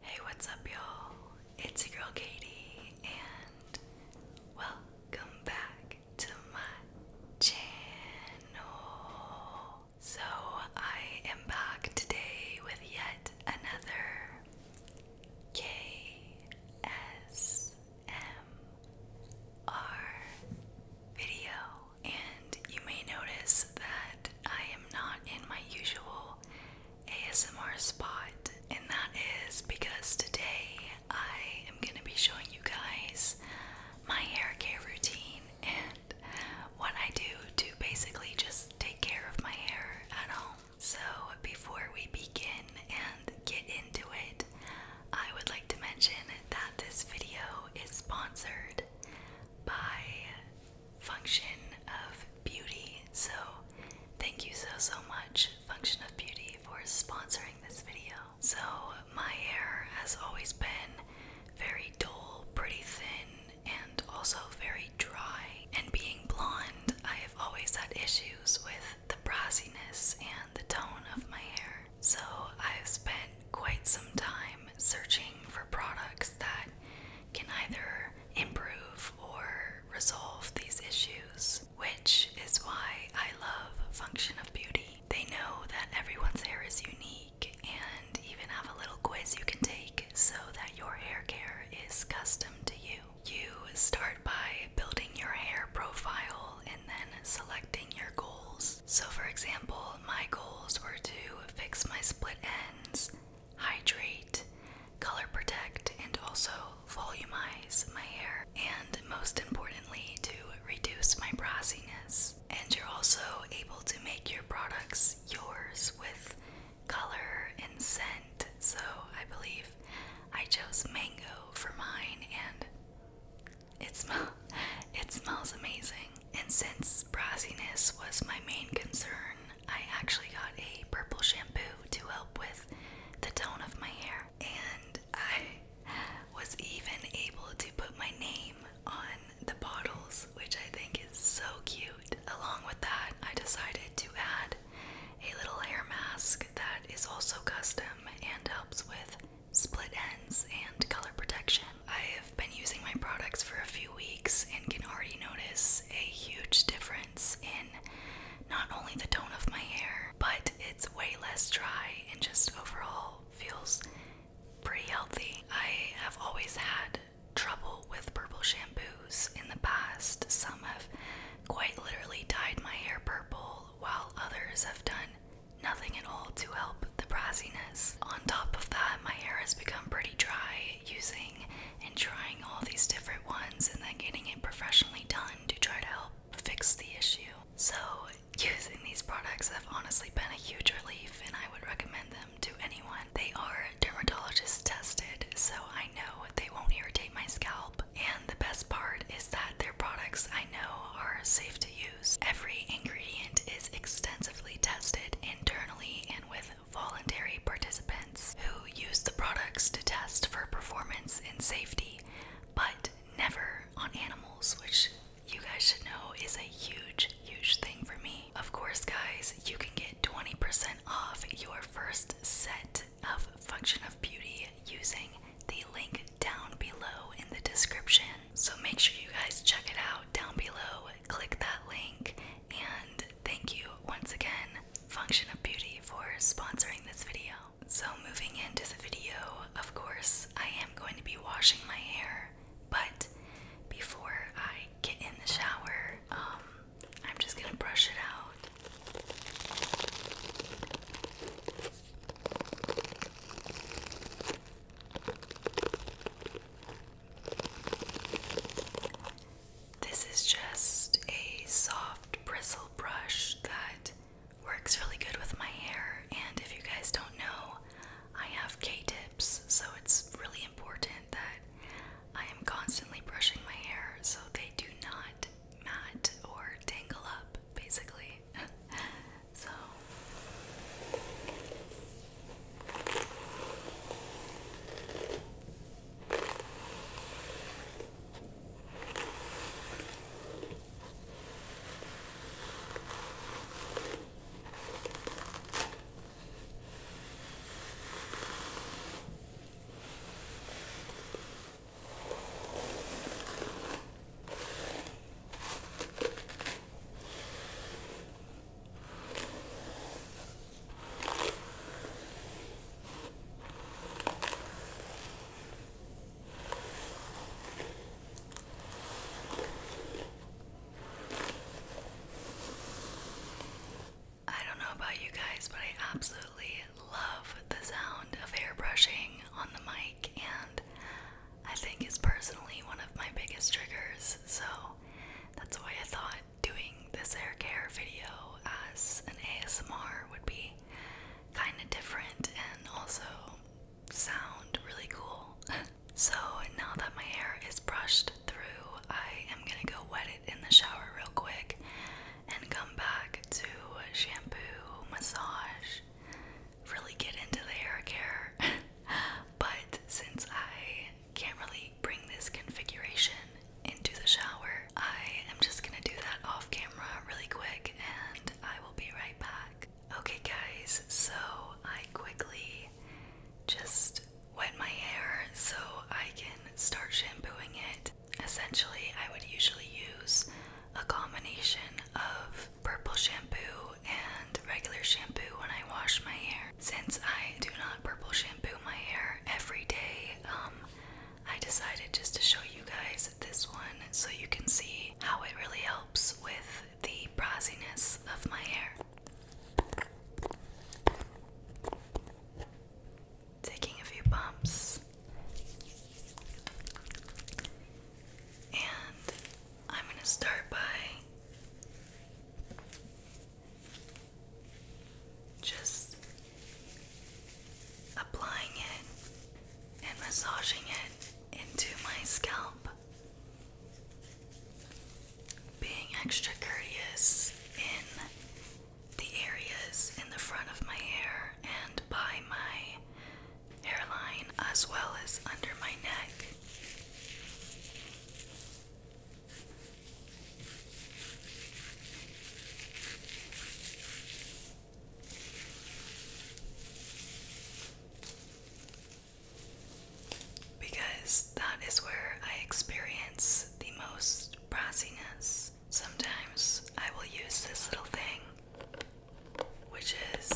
Hey, what's up, y'all? It's your girl Katie, and welcome back to my channel. So, I am back today with yet another KSMR video, and you may notice that I am not in my usual ASMR spot, and that is because today I am going to be showing you guys my hair care routine and what I do to basically just take care of my hair at home. So, before we begin and get into it, I would like to mention that this video is sponsored by function of beauty. So, thank you so so much, Function of Beauty, for sponsoring this video. So, my hair has always been very dull, pretty thin, and also very dry. And being blonde, I have always had issues with the brassiness and the tone of my hair. So, I've spent quite some time searching for products that can either improve or resolve these issues, which is why I love Function of Beauty. They know that everyone's hair is unique and even have a little quiz you can take so that your hair care is custom to you. You start by building your hair profile and then selecting your goals. So, for example, my goals were to fix my split hydrate, color protect, and also volumize my hair, and most importantly, to reduce my brassiness. And you're also able to make your products yours with color and scent. So I believe I chose mango for mine, and it smells it smells amazing. And since brassiness was my main concern, I actually got a purple shampoo to help with the tone of my hair. And I was even able to put my name on the bottles, which I think is so cute. Along with that, I decided to add a little hair mask that is also custom and helps with split ends and color protection. I have been using my products for a few weeks and can already notice a huge difference in not only the tone of my hair, but it's way less dry and just overall feels pretty healthy. I have always had trouble with purple shampoos in the past. Some have quite literally dyed my hair purple, while others have done nothing at all to help the brassiness. On top of that, my hair has become pretty dry using and trying all these different ones and then getting it professionally done to try to help fix the issue. So, using these products have honestly been a huge relief and I would recommend them to anyone. They are dermatologist tested, so I know they won't irritate my scalp. And the best part is that their products I know are safe to use Every ingredient is extensively tested internally and with voluntary participants who use the products to test for performance and safety, but never on animals, which you guys should know is a huge, huge thing for me. Of course, guys, you can get 20% off your first set of Function of Beauty using the link down below in the description. So make sure you guys check it out down below. Click that link. And thank you once again, Function of Beauty, for sponsoring this video. So, moving into the video, of course, I am going to be washing my hair, but before I get in the shower, um, I'm just gonna brush it out. This is just a soft bristle brush that works really good with my hair. And if you guys don't know, I have K tips, so it's really important that I am constantly brushing my hair so they do not mat or tangle up basically. so I don't know about you guys, but I absolutely love the sound of hair on the mic, and I think is personally one of my biggest triggers. So that's why I thought doing this hair care video as an ASMR would be kind of different and also sound really cool. so now that my hair is brushed through, I am gonna go wet it in the shower real quick and come back to shampoo, massage, really get into the hair care, but since I can't really bring this configuration into the shower, I am just gonna do that off camera really quick and I will be right back. Okay, guys, so I quickly just wet my hair so I can start shampooing it. Essentially, I would usually use a combination of purple shampoo and regular shampoo when I wash my hair. Since I do not purple shampoo my hair every day, um, I decided just to show you guys this one so you can see how it really helps with the bronziness of my hair. Taking a few bumps. And I'm going to start by just applying it and massaging it into my scalp. Being extra courteous in the areas in the front of my hair and by my hairline as well as under my neck. Because that is where I experience the most brassiness sometimes I will use this little thing, which is,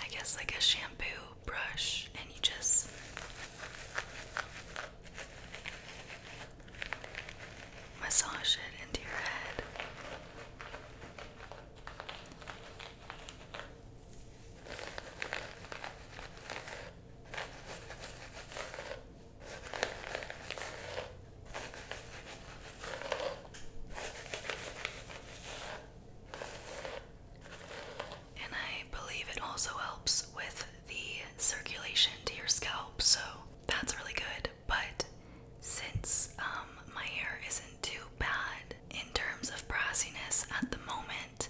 I guess, like a shampoo brush, and you just massage it into your head. And I believe it also helps with the circulation to your scalp, so that's really good. But since um, my hair isn't too bad in terms of brassiness at the moment,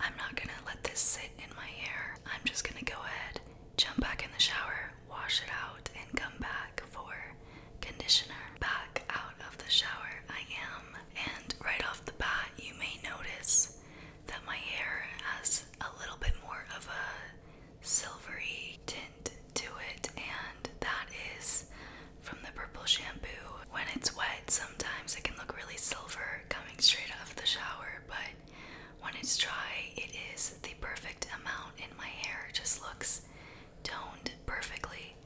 I'm not gonna let this sit in my hair. I'm just gonna go ahead jump back in the shower, wash it out, and come back for conditioner. Back out of the shower, I am, and right off the bat, you may notice that my hair has a little bit more of a silvery tint to it, and that is from the purple shampoo. When it's wet, sometimes it can look really silver coming straight out of the shower, but when it's dry, it is the perfect amount, and my hair just looks toned perfectly.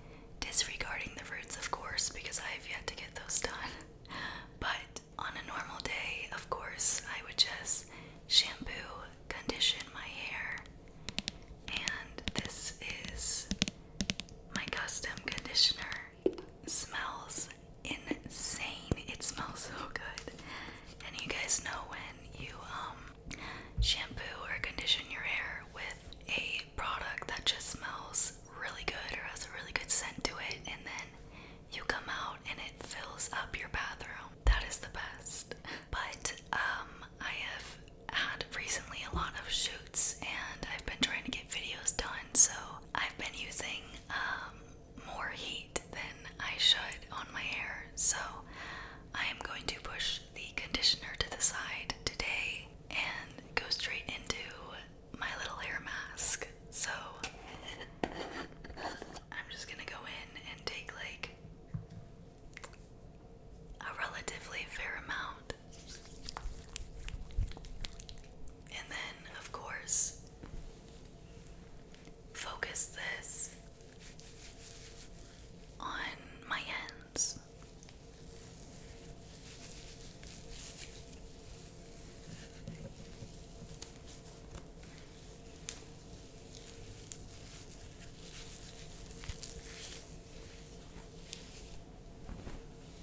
Disregarding the roots, of course, because I have yet to get those done. But on a normal day, of course, I would just shampoo, condition my hair, and this is my custom conditioner. smells insane. It smells so good. And you guys know when you um shampoo or condition your hair with a product that just smells really good or has a really good scent to it and then you come out and it fills up your bathroom. That is the best. But um I have had recently a lot of shoots and I've been trying to get videos done so I've been using um more heat than I should on my hair, so I am going to push the conditioner to the side today and go straight into my little hair mask. So I'm just gonna go in and take like a relatively fair amount. And then, of course, focus this on my hands.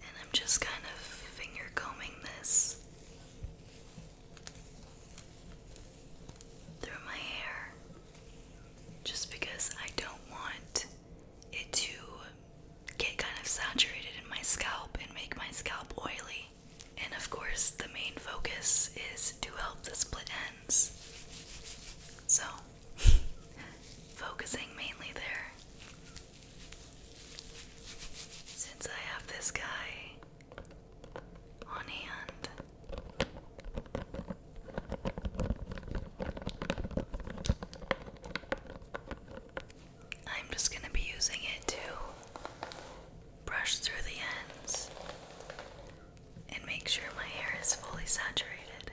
And I'm just kind of finger combing this through my hair just because I don't want it to get kind of saturated in my scalp and make my scalp oily. And of course, the main focus is to help the split ends. So, focusing mainly there. Since I have this guy on hand, I'm just going to be using it to brush through the ends and make sure my hair is fully saturated.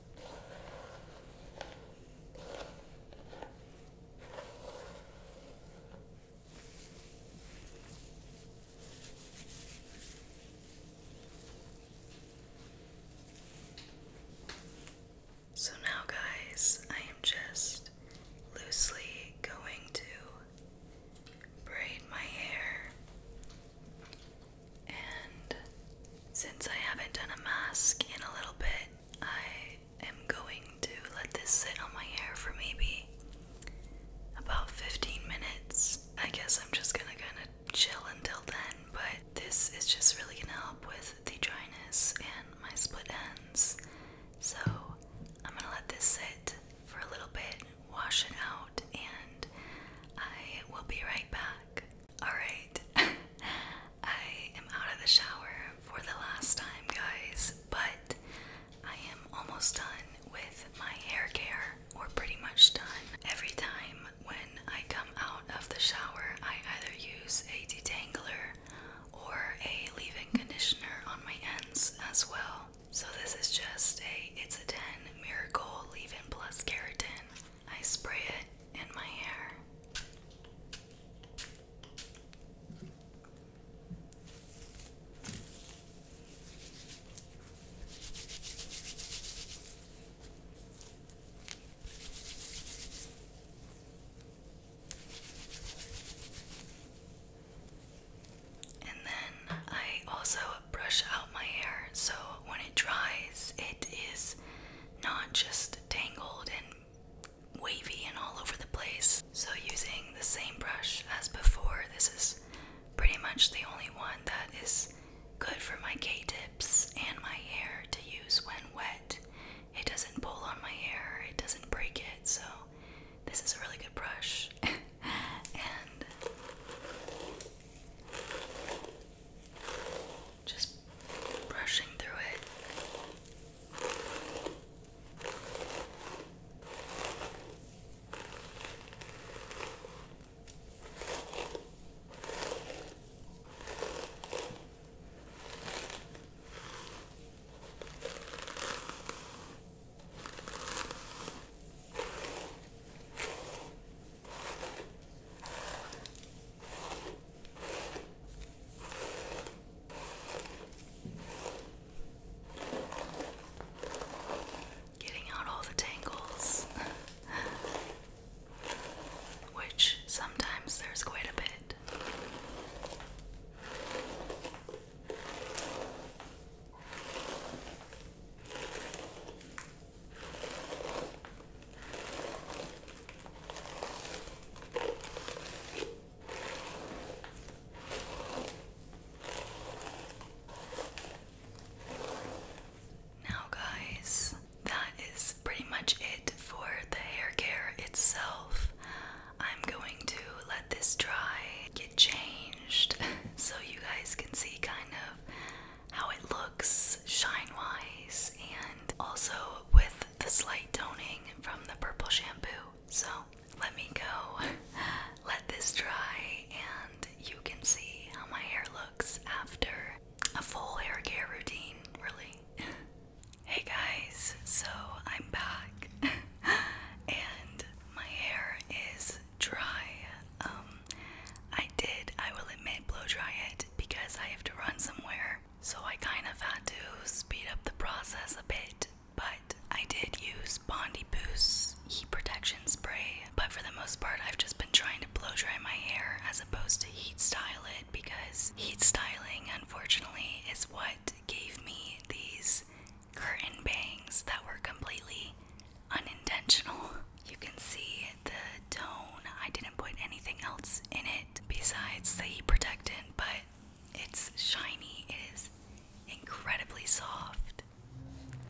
So now, guys, I am just loosely going to braid my hair and since I haven't done a mask in a little bit, I am going to let this sit on my hair for maybe about 15 minutes. I guess I'm just gonna kind of chill until then, but this is just really gonna help with the dryness and my split ends. So I'm gonna let this sit for a little bit, wash it out, and I will be right back. Alright, I am out of the shower for the last time, guys, but I am almost done with my hair care, or pretty much done. Every time when I come out of the shower, I either use a detangler or a leave in conditioner on my ends as well. So, this is just a It's a 10 Miracle Leave In Plus Keratin. I spray it in my hair. And then I also uh, brush out my hair so when it dries, it is not just tangled and wavy and all over the place. So, using the same brush as before, this is pretty much the only one that is good for my K tips and my hair to use when wet. It doesn't pull on my hair, it doesn't break it, so this is a really good brush. and just brushing through it. Getting out all the tangles, which sometimes there's quite a bit. Now, guys, that is pretty much it for the hair care itself. I'm going to let this dry, changed so you guys can see kind of how it looks shine wise and also with the slight toning from the purple shampoo. So let me go let this dry and you can see how my hair looks after a full hair care routine, really. hey guys, so I'm back and my hair is dry. Um, I did, I will admit, blow dry it because I have to run somewhere. So I kind of had to speed up the process a bit. But I did use Bondi Boost heat protection spray. But for the most part, I've just been trying to blow dry my hair as opposed to heat style it because heat styling, unfortunately, is what gave me these curtain bangs that were completely unintentional. You can see the tone. I didn't put anything else in it besides the heat protectant, but it's shiny. It is incredibly soft.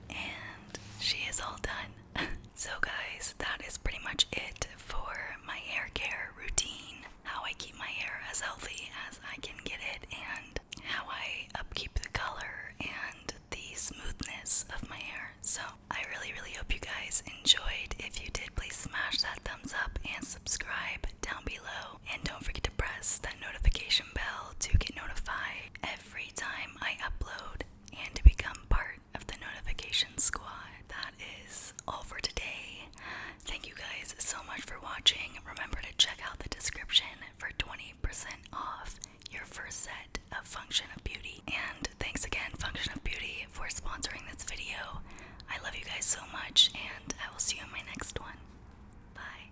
And she is all done. so, guys, that is pretty much it for my hair care routine. How I keep my hair as healthy as I can get it and how I upkeep the color and the smoothness of my hair. So I really, really hope you guys enjoyed. If you did, please smash that thumbs up and subscribe down below. And don't forget to press that notification bell to get notified every time I upload and to become part of the notification squad. That is all for today. Thank you guys so much for watching. Remember to check out the description for 20 off your first set of Function of Beauty. And thanks again, Function of Beauty, for sponsoring this video. I love you guys so much, and I will see you in my next one. Bye.